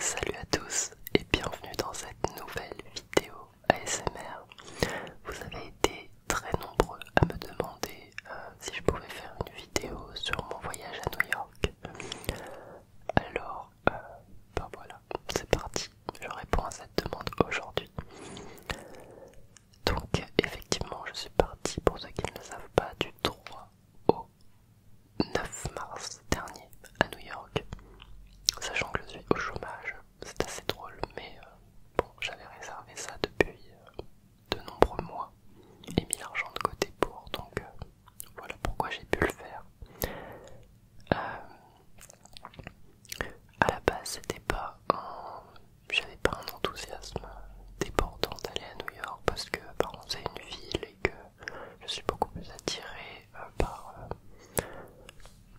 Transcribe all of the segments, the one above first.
Salut à tous et bienvenue dans cette nouvelle vidéo ASMR. Vous avez été très nombreux à me demander euh, si je pouvais faire une vidéo sur mon voyage à New York. Alors, euh, ben voilà, c'est parti, je réponds à cette demande aujourd'hui. Donc effectivement, je suis parti pour ceux qui ne savent pas du droit. au 9 mars dernier à New York. Sachant que je suis au chômage, c'est assez drôle, mais euh, bon, j'avais réservé ça depuis euh, de nombreux mois et mis l'argent de côté pour, donc euh, voilà pourquoi j'ai pu le faire. à la base, c'était pas J'avais pas un enthousiasme débordant d'aller à New York parce que, par c'est une ville et que euh, je suis beaucoup plus attiré euh, par euh,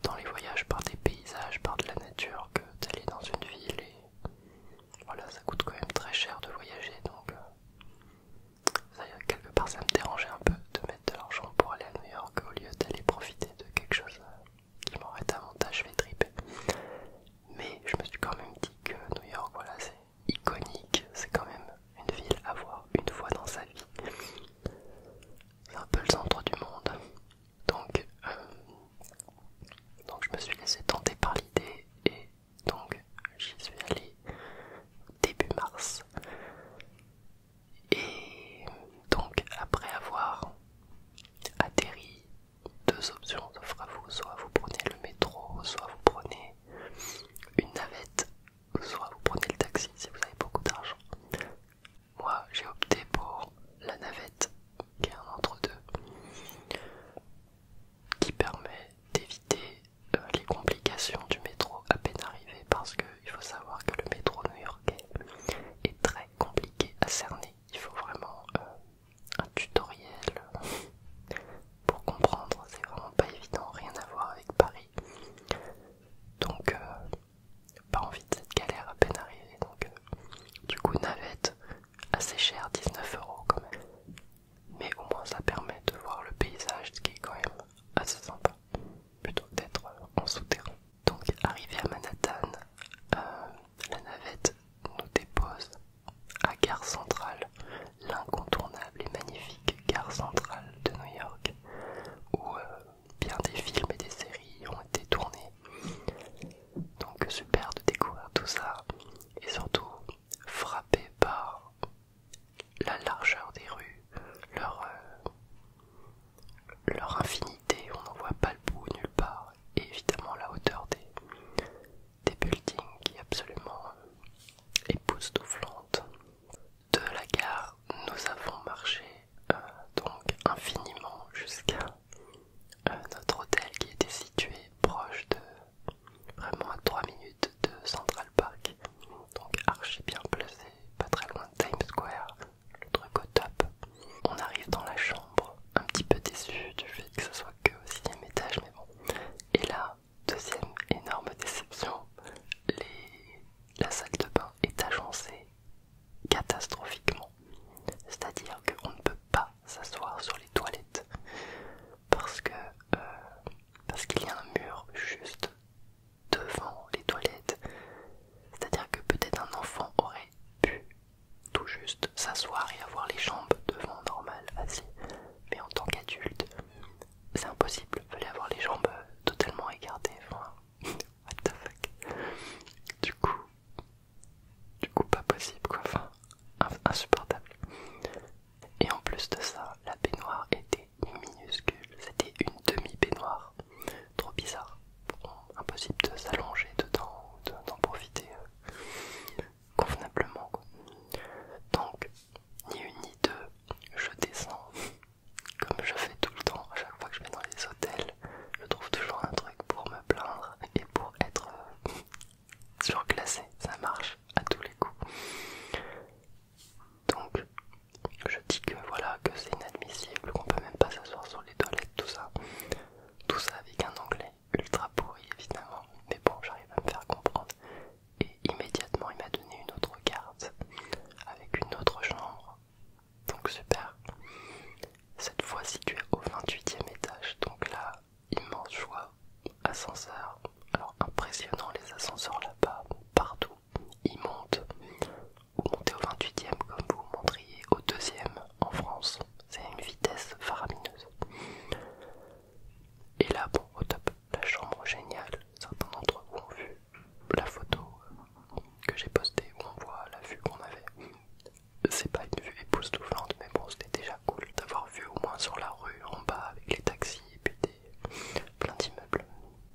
dans les voyages par des paysages, par de la nature que d'aller dans une ville et voilà ça coûte quand même très cher de voyager donc quelque part ça me dérangeait un peu de mettre de l'argent pour aller à New York au lieu d'aller profiter de quelque chose qui m'aurait davantage fait triper mais je me suis quand même dit que New York voilà c'est iconique, c'est quand même une ville à voir une fois dans sa vie. C'est un peu le centre du monde. Donc, euh, donc je me suis laissé tenter par l'idée et donc j'y suis allé début mars. Et donc après avoir atterri, deux options s'offrent à vous, soit vous prenez le métro, soit vous prenez une navette soit vous prenez le taxi si vous avez beaucoup d'argent. Moi, j'ai opté pour la navette, qui est un entre-deux, qui permet d'éviter euh, les complications du métro à peine arrivé, parce qu'il faut savoir que le métro new-yorkais est très compliqué à cerner. Il faut vraiment euh, un tutoriel pour comprendre, c'est vraiment pas évident, rien à voir avec Paris. Donc, euh, pas envie de cette galère à peine arrivée. Donc, euh, du coup, navette, assez chère, 19 euros quand même. Mais au moins, ça permet de voir le paysage, ce qui est quand même assez sympa, plutôt d'être euh, en souterrain. Donc, arrivé à Manhattan, la navette nous dépose à Gare Centrale l'incontournable et magnifique gare centrale de New York, où euh, bien des films et des séries ont été tournés. Donc super de découvrir tout ça et surtout frappé par la largeur des rues, leur, euh, leur infinité, on n'en voit pas le bout nulle part, et évidemment la hauteur des, des buildings qui est absolument euh, époustouflante de la gare, nous avons marché euh, donc infiniment jusqu'à euh, notre hôtel qui était situé proche de vraiment à 3 minutes de Central Park. Donc archi bien placé, pas très loin de Times Square, le truc au top. On arrive dans la chambre, un petit peu déçu du fait que ce soit que au sixième étage, mais bon. Et là, Deuxième énorme déception, la salle de bain est agencée catastrophiquement. C'est-à-dire qu'on ne peut pas s'asseoir sur les toilettes parce que euh, parce qu'il y a un mur juste devant les toilettes. C'est-à-dire que peut-être un enfant aurait pu tout juste s'asseoir et avoir les jambes devant normal assis. Mais en tant qu'adulte, c'est impossible, fallait avoir les jambes totalement écartées, enfin, what the fuck. Du coup, du coup pas possible quoi, enfin, insupportable. Et en plus de ça, la baignoire était minuscule, c'était une demi-baignoire, trop bizarre, impossible de s'allonger dedans ou d'en profiter euh, convenablement Donc ni une ni deux, je descends, comme je fais tout le temps, à chaque fois que je vais dans les hôtels, je trouve toujours un truc pour me plaindre et pour être surclassé, euh, ça marche à tous les coups. Donc je dis que voilà, que c'est inadmissible, qu'on peut même pas s'asseoir sur les toilettes, tout ça. Tout ça avec un anglais ultra pourri évidemment, mais bon j'arrive à me faire comprendre et immédiatement il m'a donné une autre carte avec une autre chambre. Donc super. Cette fois située au 28e étage, donc là, immense joie. Ascenseur, alors impressionnant les ascenseurs là-bas, partout, ils montent. ou montez au 28e comme vous montriez au 2e en France, c'est une vitesse faramineuse. Et là, bon, au top, la chambre géniale, certains d'entre vous ont vu la photo que j'ai postée où on voit la vue qu'on avait. C'est pas une vue époustouflante, mais bon, c'était déjà cool d'avoir vu au moins sur la rue en bas avec les taxis et puis plein d'immeubles.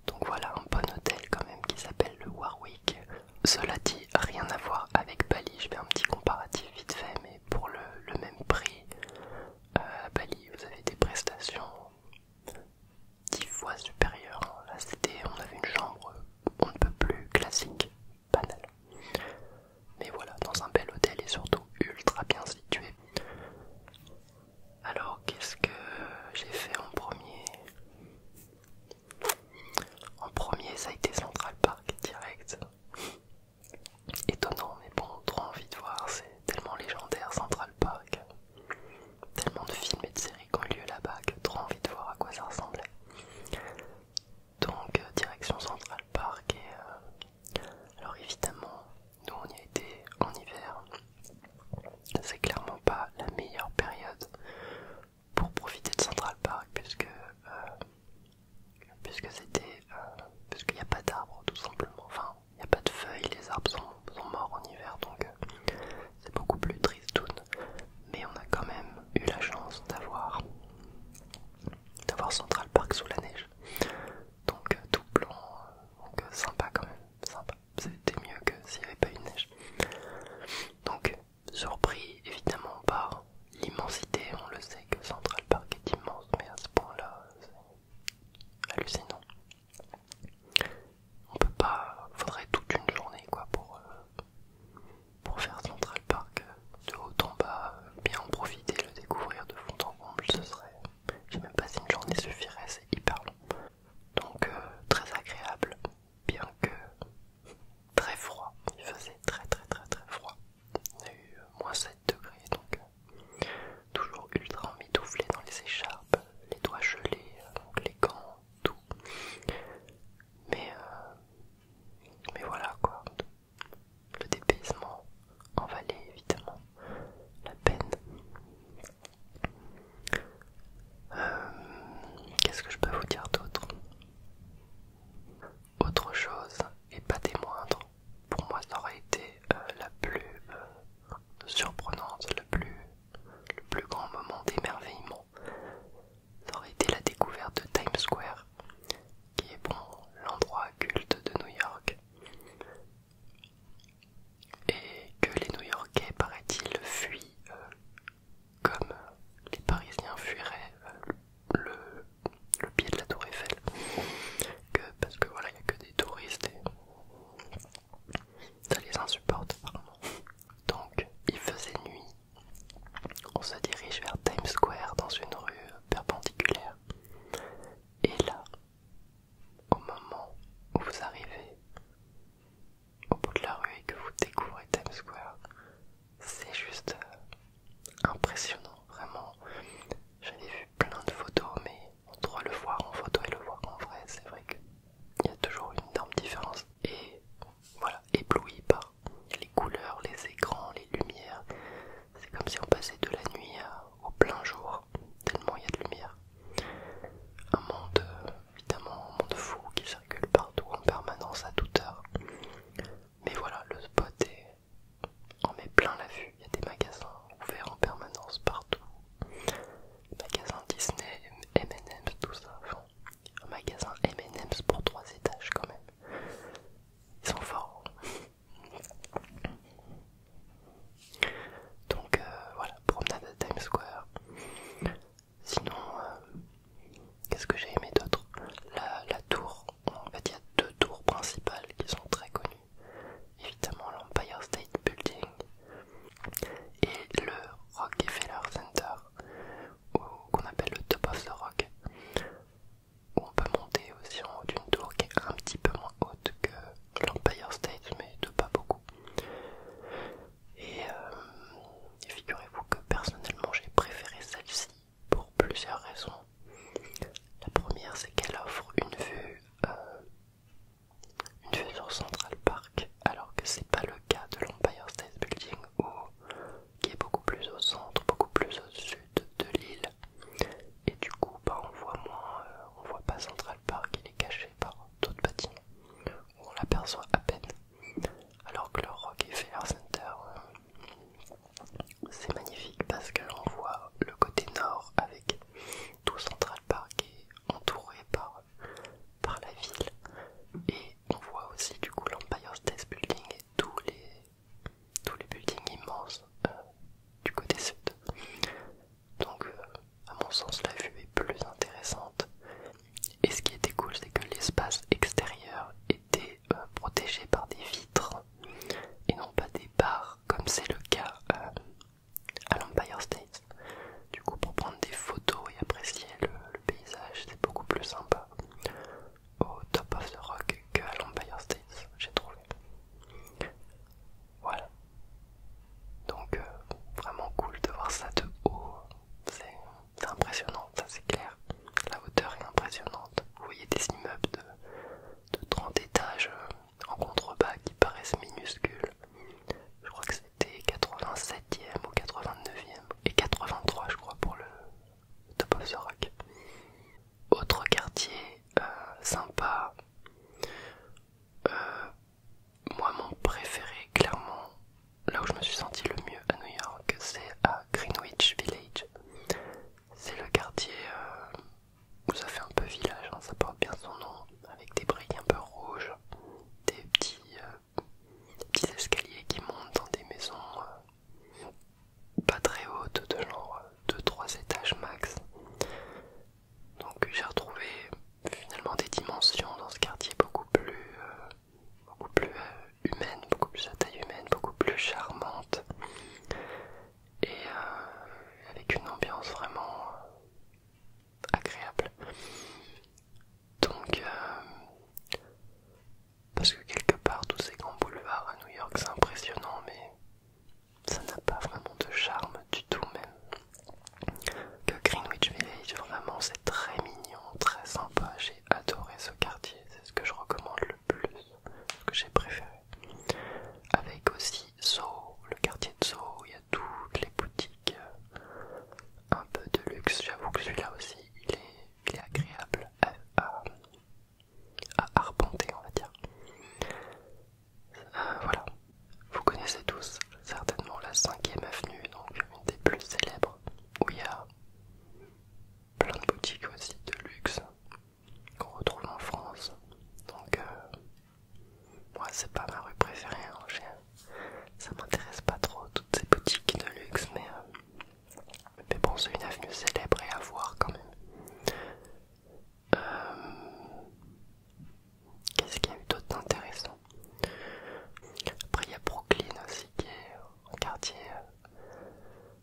Donc voilà un bon hôtel quand même qui s'appelle le Warwick. Cela dit, rien à voir avec Bali. Je fais un petit comparatif vite fait, mais pour le même prix, à Bali, vous avez des prestations 10 fois supérieures. Hein. Là, c'était, on avait une chambre on ne peut plus classique, banale. Mais voilà, dans un bel hôtel et surtout ultra bien situé. Alors, qu'est-ce que j'ai fait en premier En premier, ça a été Central Park direct étonnant, mais bon, trop envie de voir, c'est tellement légendaire Central Park. Tellement de films et de séries qui ont lieu là-bas que trop envie de voir à quoi ça ressemblait. Donc, euh, direction Central Park, et euh, alors évidemment, nous on y a été en hiver. C'est clairement pas la meilleure période pour profiter de Central Park, puisque. Euh, puisque c'était parce qu'il n'y a pas d'arbres tout simplement n'y a pas de feuilles, les arbres sont, morts en hiver, donc euh, c'est beaucoup plus tristoun. Mais on a quand même eu la chance d'avoir d'avoir Central Park sous la neige. Donc euh, tout blanc, euh, donc sympa quand même, sympa. C'était mieux que s'il n'y avait pas eu de neige. Donc surpris évidemment par l'immensité, on le sait que Central Park est immense, mais à ce point-là, hallucinant. On peut pas, faudrait toute une journée quoi pour, euh, pour faire Central Park euh, de haut en bas, euh, bien en profiter, le découvrir de fond en comble, ce serait, je sais même pas si une journée suffirait, c'est hyper long. Donc très agréable, bien que très froid, il faisait très très très très froid. y a eu moins degrés, donc euh, toujours ultra emmitouflé dans les écharpes, les doigts gelés, euh, donc les gants, tout. Mais, euh, mais voilà quoi, le dépaysement en valait évidemment la peine. Qu'est-ce que je peux vous dire d'autre Autre chose, et pas des moindres, pour moi ça aurait été euh, la plus euh, surprenante, le plus, grand moment d'émerveillement. Ça aurait été la découverte de Times Square, qui est l'endroit culte de New York. Et que les New Yorkais, paraît-il, fuient euh, comme les Parisiens fuiraient le, pied de la tour Eiffel touristes et ça les insupporte vraiment. Donc il faisait nuit. On se dirige vers Times Square dans une rue perpendiculaire. Et là, au moment où vous arrivez au bout de la rue et que vous découvrez Times Square, c'est juste impressionnant, vraiment. J'avais vu plein de photos, mais entre le voir en photo et le voir en vrai, c'est vrai qu'il y a toujours une énorme différence. Et voilà, ébloui par les couleurs, les écrans, les lumières. C'est comme si on passait de la nuit au plein jour, tellement il y a de lumière. Un monde, euh, évidemment, un monde fou qui circule partout en permanence à toute heure. Mais voilà, le spot est on met plein la vue. Il y a des magasins ouverts en permanence partout. Magasin Disney, M&M's, tout ça. Enfin, un magasin M&M's pour trois étages quand même. Ils sont forts. Donc euh, voilà, promenade à Times Square. Sinon, euh, qu'est-ce que j'ai aimé d'autre la, la tour, en fait il y a deux tours principales qui sont très connues évidemment l'Empire State Building et le Rockefeller Center, qu'on appelle le Top of the Rock, où on peut monter aussi en haut d'une tour qui est un petit peu moins haute que l'Empire State, mais de pas beaucoup. et euh, figurez-vous que personnellement j'ai préféré celle-ci pour plusieurs raisons. La première, c'est qu'elle offre une vue, euh, une vue sur Central Park, alors que c'est pas le cas de l'Empire State Building, qui est beaucoup plus au centre, beaucoup plus au sud de l'île. Et du coup, bah, on voit moins, euh, on voit pas Central Park, il est caché par d'autres bâtiments, où on l'aperçoit à peine. Alors que le Rockefeller Center, euh, c'est magnifique parce l'on voit le côté nord avec tout Central Park et entouré par, la ville et on voit aussi du coup l'Empire State Building et tous les, buildings immenses euh, du côté sud. Donc euh, à mon sens la vue est plus intéressante et ce qui était cool c'est que l'espace extérieur était euh, protégé par des vitres et non pas des barres comme c'est le cas euh, à l'Empire State. Du coup, pour prendre des photos et apprécier le, paysage, c'est beaucoup plus sympa au Top of the Rock que à l'Empire State, j'ai trouvé. Voilà. Donc, euh, vraiment cool de voir ça de haut. C'est impressionnant, ça c'est clair. La hauteur est impressionnante. Vous voyez des immeubles de, 30 étages. Euh, en contrebas qui paraissent minuscules. Je crois que c'était 87e ou 89e et 83 je crois pour le Top of the Rock. Autre quartier euh, sympa, euh, moi mon préféré clairement, là où je me suis senti le mieux à New York, c'est à Greenwich Village. C'est le quartier euh, où ça fait un peu village, hein, ça porte bien son nom, avec des briques un peu rouges, des petits, euh, escaliers qui montent dans des maisons euh, pas très hautes, de genre 2-3 étages max. Donc j'ai retrouvé finalement des dimensions dans ce quartier beaucoup plus, beaucoup plus beaucoup plus à taille humaine, beaucoup plus charmante et euh, avec une ambiance vraiment euh, agréable. Donc, euh, parce que quelque part, tous ces grands boulevards à New York, c'est impressionnant, mais ça n'a pas vraiment de charme du tout, même. Que Greenwich Village, vraiment, c'est très mignon, très sympa. J'ai adoré ce quartier, c'est ce que je recommande le plus ce que j'ai préféré. Avec aussi Soho, le quartier de Soho, il y a toutes les boutiques euh, un peu de luxe. J'avoue que celui-là aussi, il est, agréable à, arpenter, on va dire. Euh, voilà, vous connaissez tous certainement la 5ème avenue, donc une des plus célèbres, où il y a plein de boutiques aussi de luxe qu'on retrouve en France. Donc, moi, euh, c'est pas ma rue préférée. fait, hein, Ça m'intéresse pas trop toutes ces boutiques de luxe, euh, mais, bon, c'est une avenue célèbre et à voir quand même. Euh, qu'est-ce qu'il y a eu d'autre d'intéressant Après, il y a Brooklyn aussi qui est un quartier,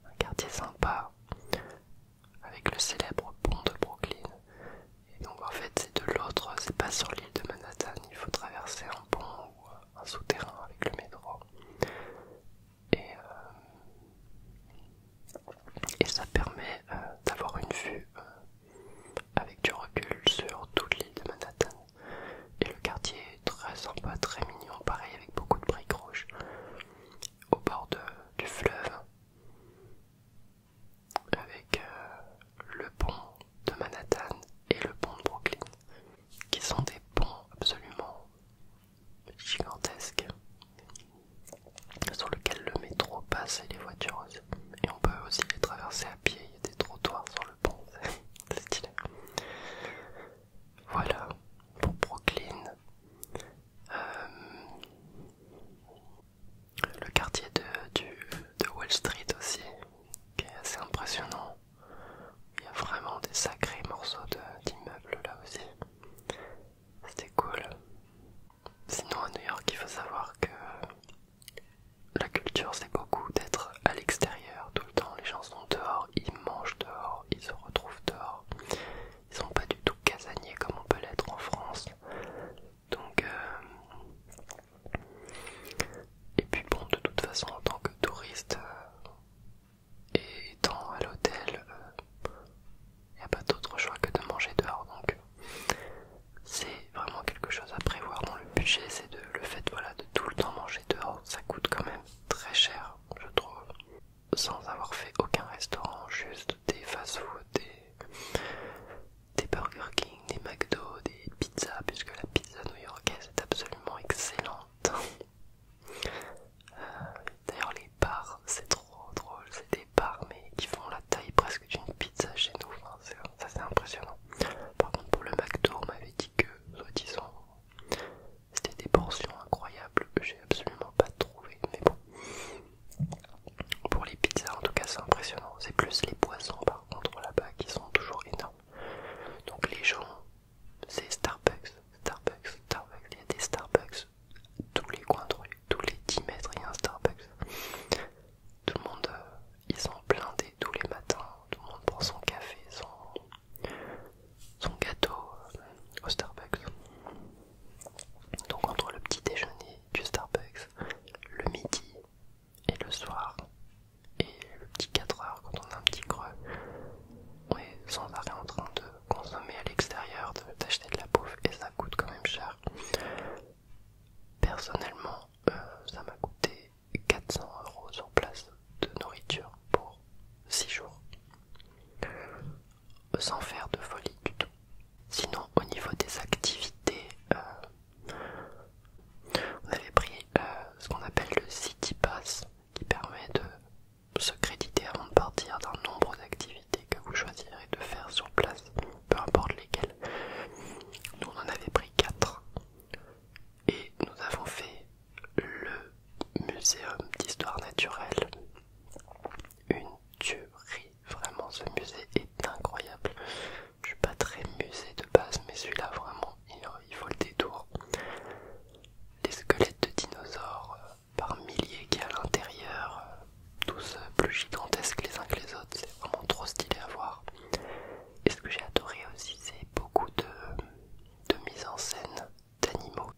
un quartier sympa avec le célèbre pont de Brooklyn. Et donc en fait c'est de l'autre, c'est pas sur l'île de Manhattan, il faut traverser un pont ou euh, un souterrain avec le métro. Et, euh, ça permet euh, d'avoir une vue avec du recul sur toute l'île de Manhattan. Et le quartier est très sympa, très mignon, pareil avec beaucoup de briques rouges. Au bord du fleuve, avec euh, le pont de Manhattan et le pont de Brooklyn, qui sont des ponts absolument gigantesques sur lequel le métro passe et les voitures aussi. Et on peut aussi les traverser à pied, il y a des trottoirs sur le pont, c'est stylé. Voilà, pour Brooklyn. Euh, le quartier de, du, de Wall Street aussi, qui est assez impressionnant. Il y a vraiment des sacrés morceaux d'immeubles là aussi. C'était cool. Sinon à New York, il faut savoir que la culture c'est beaucoup d'être à l'extérieur tout le temps. Les gens sont dehors, ils mangent dehors, ils se retrouvent dehors ils sont pas du tout casaniers comme on peut l'être en France. Donc, euh, et puis bon, de toute façon, en tant que touriste euh, et étant à l'hôtel, il euh, n'y a pas d'autre choix que de manger dehors. Donc, c'est vraiment quelque chose à prévoir dans le budget, c'est le fait voilà de tout le temps manger dehors. Ça coûte quand même très cher, je trouve sans avoir fait aucun restaurant, juste des fast-food, des, Burger King, des McDo, des pizzas, puisque la pizza new-yorkaise est absolument excellente. Euh, d'ailleurs, les bars, c'est trop drôle, c'est des bars mais qui font la taille presque d'une pizza chez nous, ça c'est impressionnant. Par contre, pour le McDo, on m'avait dit que, soi-disant, c'était des portions incroyables, j'ai absolument pas trouvé, mais bon. Pour les pizzas, en tout cas, c'est impressionnant. C'est plus les poissons, par contre, là-bas, qui sont toujours énormes. Donc les gens, c'est Starbucks, Starbucks, Starbucks. Il y a des Starbucks tous les coins de rue, tous les 10 mètres, il y a un Starbucks. Tout le monde, euh, ils sont blindés tous les matins. Tout le monde prend son café, son, gâteau euh, au Starbucks. Donc entre le petit déjeuner du Starbucks, le midi et le soir, et le petit 4 heures quand on a un petit creux, on est sans arrêt en train de consommer à l'extérieur, d'acheter de, la bouffe et ça coûte quand même cher. Personnellement, euh, ça m'a coûté 400 euros sur place de nourriture pour 6 jours sans faire de folie du tout. Sinon, au niveau des activités, euh, on avait pris euh, ce qu'on appelle le City Pass qui permet de se créditer avant de partir d'un nombre d'activités que vous choisirez de faire sur place, peu importe lesquelles. Nous, on en avait pris 4 et nous avons fait le Muséum d'histoire naturelle une tuerie. Vraiment, ce musée est incroyable. Je suis pas très musée de base, mais celui-là, vraiment, il, faut le détour. Les squelettes de dinosaures euh, par milliers qui à l'intérieur, euh, tous euh, plus gigantesques les uns que les autres, c'est vraiment trop stylé à voir. Et ce que j'ai adoré aussi, c'est beaucoup de mise en scène d'animaux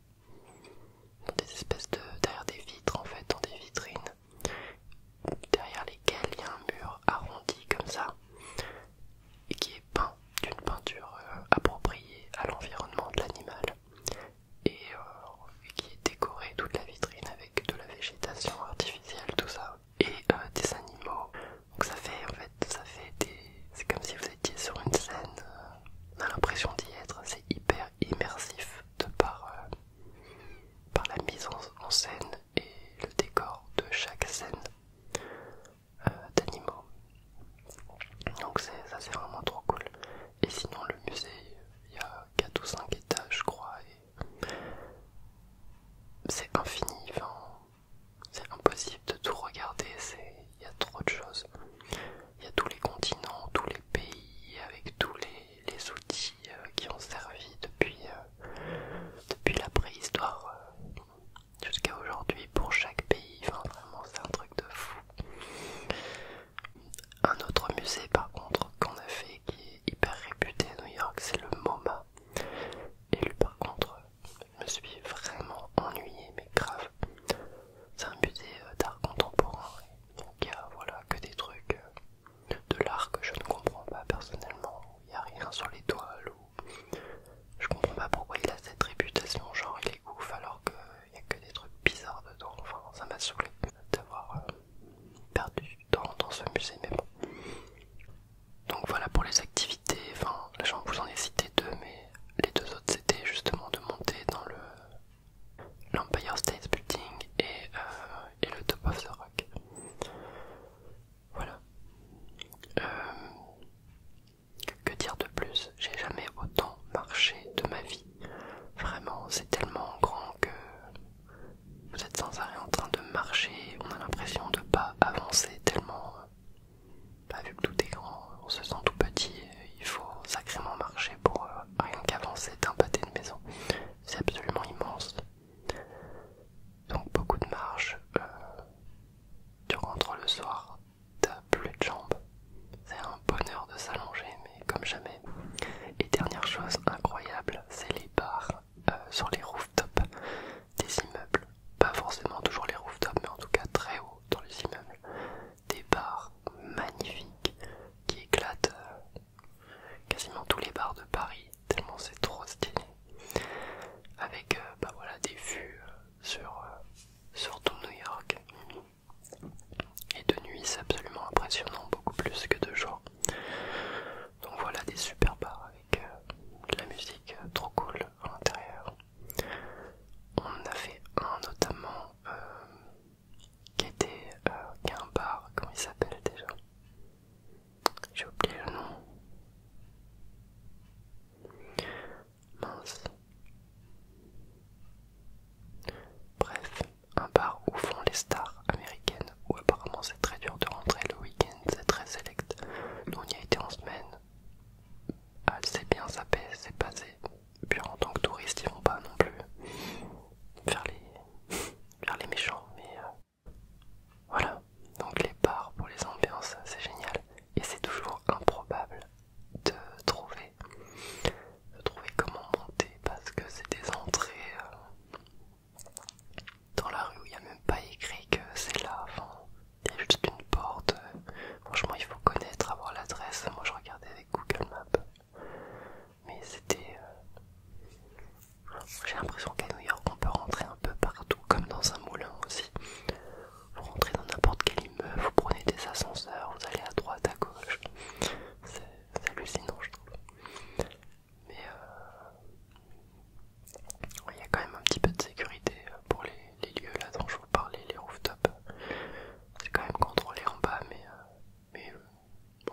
des espèces de derrière des vitres en fait, dans des vitrines, derrière lesquelles il y a un mur arrondi comme ça, et qui est peint d'une peinture euh, appropriée à l'environnement de l'animal, et, euh, qui est décoré, toute la vitrine avec de la végétation artificielle, tout ça, et euh, des animaux. Donc ça fait en fait, ça fait des, c'est comme si vous étiez sur une scène. on a l'impression d'y être, c'est hyper immersif de euh, par, la mise en, scène et le décor de chaque scène euh, d'animaux. Donc ça c'est vraiment trop cool. Et sinon le musée, il y a 4 ou 5 étages je crois. Et c'est infini, c'est impossible de tout regarder, il y a trop de choses il y a tous les continents, tous les pays, avec tous les, outils euh, qui ont servi depuis, euh, depuis la préhistoire euh, jusqu'à aujourd'hui pour chaque pays. Enfin, vraiment, c'est un truc de fou. Un autre musée, par contre, qu'on a fait qui est hyper réputé à New York, c'est le MoMA. Et lui, par contre, je me suis vraiment ennuyé, mais grave. C'est un musée euh, d'art contemporain y a voilà, que des trucs euh, de l'art que je ne comprends pas personnellement. Il n'y a rien sur les ou je comprends pas pourquoi il a cette réputation, genre il est ouf alors qu'il euh, n'y a que des trucs bizarres dedans. Enfin, ça m'a saoulé d'avoir perdu du temps dans ce musée, mais Donc voilà pour les activités, enfin je vous en ai cité deux mais les deux autres c'était justement de monter dans le l'Empire State Building et, euh, et le Top of the Rock. Voilà. Euh, que dire de plus J'ai jamais autant marché de ma vie. Vraiment, c'est tellement grand que vous êtes sans arrêt en train de marcher. On a l'impression de pas avancer tellement. Euh, bah, vu que tout est grand, on se sent tout petit. il faut sacrément marcher pour rien qu'avancer d'un pâté de maison. C'est absolument immense. Donc beaucoup de marche. tu euh, rentres le soir, t'as plus de jambes. C'est un bonheur de s'allonger, mais comme jamais. Et dernière chose incroyable, c'est les bars euh, sur les rooftops des immeubles. Pas forcément toujours les rooftops, mais en tout cas très haut dans les immeubles des bars magnifiques qui éclatent euh, quasiment tous les bars de Paris, tellement c'est trop stylé. Avec euh, bah voilà, des vues euh, sur, tout New York. Et de nuit, c'est absolument impressionnant, beaucoup plus que de jour. Donc voilà des super bars avec de la musique trop cool à l'intérieur. On en a fait un notamment qui était euh, un bar, comment il s'appelle déjà J'ai oublié le nom. Mince. Bref, un bar où font les stars américaines, où apparemment c'est très dur de rentrer le week-end, c'est très select. Nous on y a été en semaine. Ah, c'est bien ça pèse, c'est passé, et puis en tant que touriste, ils vont pas non plus vers les, les méchants. Mais euh, voilà. Donc les bars pour les ambiances, c'est génial. Et c'est toujours improbable de trouver, de trouver comment monter parce que c'est des entrées euh, dans la rue où il n'y a même pas écrit que c'est là. avant, il y a juste une porte. Franchement, il faut connaître, avoir l'adresse. Moi, je regardais avec Google Maps. Mais c'était... Euh, j'ai l'impression qu'à New York, on peut rentrer un peu partout, comme dans un moulin aussi. Vous rentrez dans n'importe quel immeuble, vous prenez des ascenseurs, vous allez à droite, à gauche. C'est hallucinant, je trouve. Mais euh, il y a quand même un petit peu de sécurité euh, pour les, les lieux là dont je vous parlais, les rooftops. C'est quand même contrôlé en bas, mais mais euh,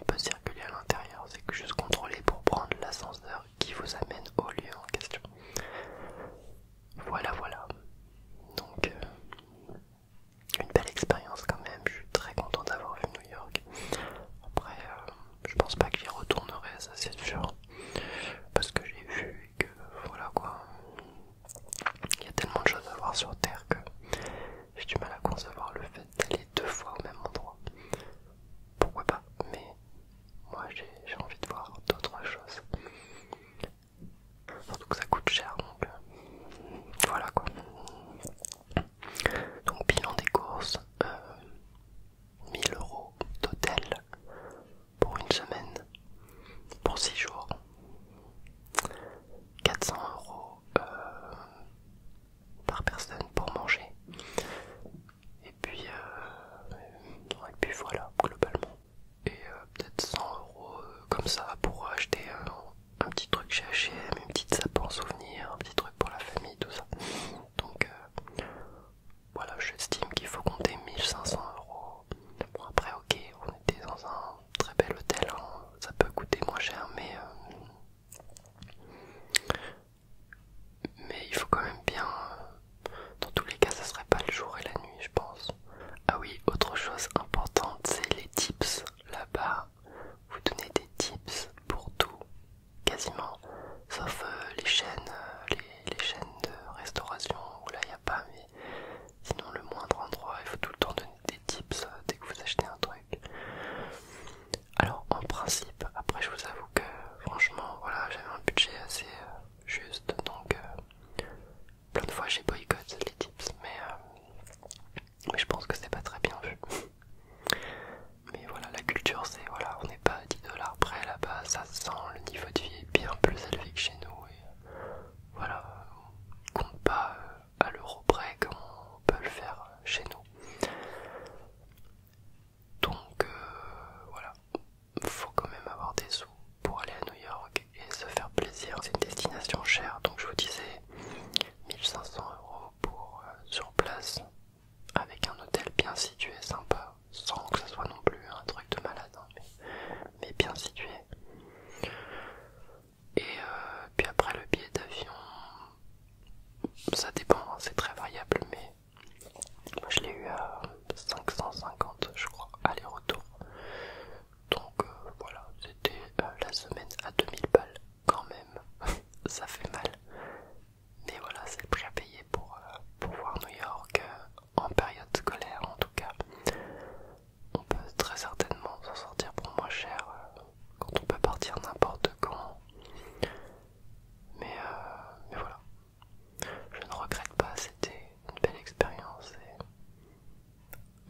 on peut circuler à l'intérieur, c'est que juste contrôler pour prendre l'ascenseur qui vous amène au lieu en question. Voilà, voilà. Donc, euh, une belle expérience quand même, je suis très content d'avoir vu New York. Après, euh, je pense pas que j'y retournerai, ça c'est parce que j'ai vu que voilà quoi. Il y a tellement de choses à voir sur Terre que j'ai du mal à concevoir le fait d'aller deux fois au même endroit. Pourquoi pas Mais moi j'ai envie de voir d'autres choses. Surtout que ça coûte cher donc euh, voilà quoi. Donc bilan des courses, euh, 1000 euros d'hôtel pour une semaine, pour six jours, 400 euros euh, par personne pour manger. Et puis, euh, puis voilà, globalement. Et euh, peut-être 100 euros comme ça pour acheter un, petit truc chez HM, une petite sape en souvenir, un petit truc pour la famille, tout ça. Donc voilà, j'estime qu'il faut compter 1500 euros. après, ok, on était dans un très bel hôtel, hein. ça peut coûter moins cher, mais, euh, mais il faut quand même bien. dans tous les cas, ça serait pas le jour et la nuit, je pense. Ah oui, autre chose importante, c'est les tips là-bas. Vous donnez des tips pour tout, quasiment, sauf euh, les chaînes, euh, les, chaînes de restauration où là il n'y a pas, sinon le moindre endroit, il faut tout le temps donner des tips euh, dès que vous achetez un truc. Alors en principe, après je vous avoue que franchement, voilà, j'avais un budget assez euh, juste, donc euh, plein de fois j'ai boycotté les tips, mais, je pense que c'est pas très bien vu. Mais voilà, la culture c'est, voilà, on n'est pas à 10 dollars près là-bas, ça sent, le niveau de vie est bien plus élevé que chez nous, et voilà, on compte pas euh, à l'euro près comme on peut le faire euh, chez nous. Donc euh, voilà, il faut quand même avoir des sous pour aller à New York et se faire plaisir. C'est une destination chère, donc je vous disais 1500 euros pour sur place avec un hôtel bien situé, sympa, sans que ça soit non plus un truc de malade, hein, mais bien situé. Et euh, puis après le billet d'avion, ça dépend, hein, c'est très variable, mais moi je l'ai eu à 550 je crois, aller-retour. Donc euh, voilà, c'était euh, la semaine à 2000 balles quand même, ça fait mal. Mais voilà, c'est le prix à payer pour, voir New York en période scolaire en tout cas on peut très certainement s'en sortir pour moins cher euh, quand on peut partir n'importe quand. Euh, mais, voilà, je ne regrette pas, c'était une belle expérience et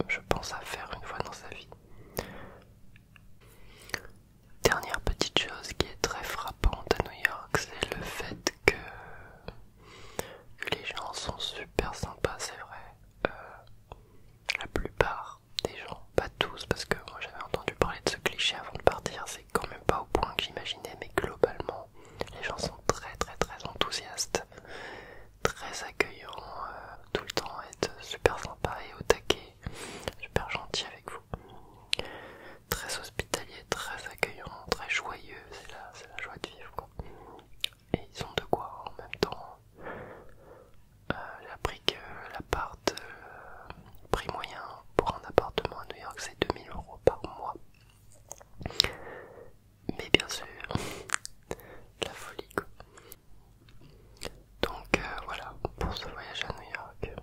je pense à faire une fois dans sa vie. Dernière petite chose qui est très frappante à New York, c'est le fait que, les gens sont super sympas, c'est vrai. Euh, la plupart des gens, pas tous, parce que moi j'avais entendu parler de ce cliché avant de partir, c'est quand même pas au point que j'imaginais, mais globalement, les gens sont très très très enthousiastes, très accueillants euh, tout le temps, être super sympa et au taquet, super gentil avec vous, très hospitalier, très accueillants, très joyeux, c'est la, la joie de vivre quoi et ils ont de quoi en même temps. J'ai euh, appris que euh, l'appart, euh, prix moyen pour un appartement à New York, c'est 2000 euros par mois. Mais bien sûr, la folie quoi. Donc voilà pour ce voyage à New York.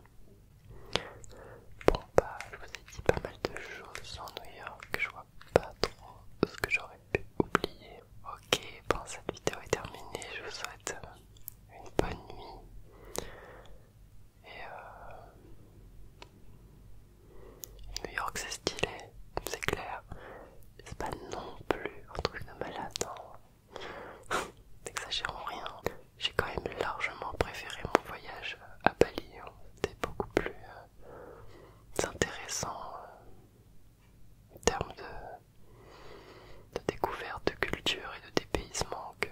Bon bah je vous ai dit pas mal de choses en New York, je vois pas trop ce que j'aurais pu oublier. Ok, bon cette vidéo est terminée. Je vous souhaite une bonne nuit. Et euh, New York, c'est stylé, c'est clair. C'est pas non plus un truc de malade, non. Hein. N'exagérons rien. J'ai quand même largement préféré mon voyage à Bali. Hein. C'était beaucoup plus euh, intéressant. Euh, termes de, découverte, de culture et de dépaysement que,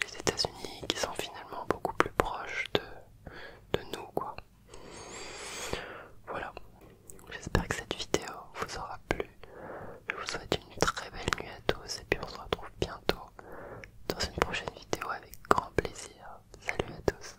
les États-Unis, qui sont finalement beaucoup plus proches de, de nous, quoi. Voilà. J'espère que cette vidéo vous aura plu. Je vous souhaite une très belle nuit à tous et puis on se retrouve bientôt dans une prochaine vidéo avec grand plaisir. Salut à tous.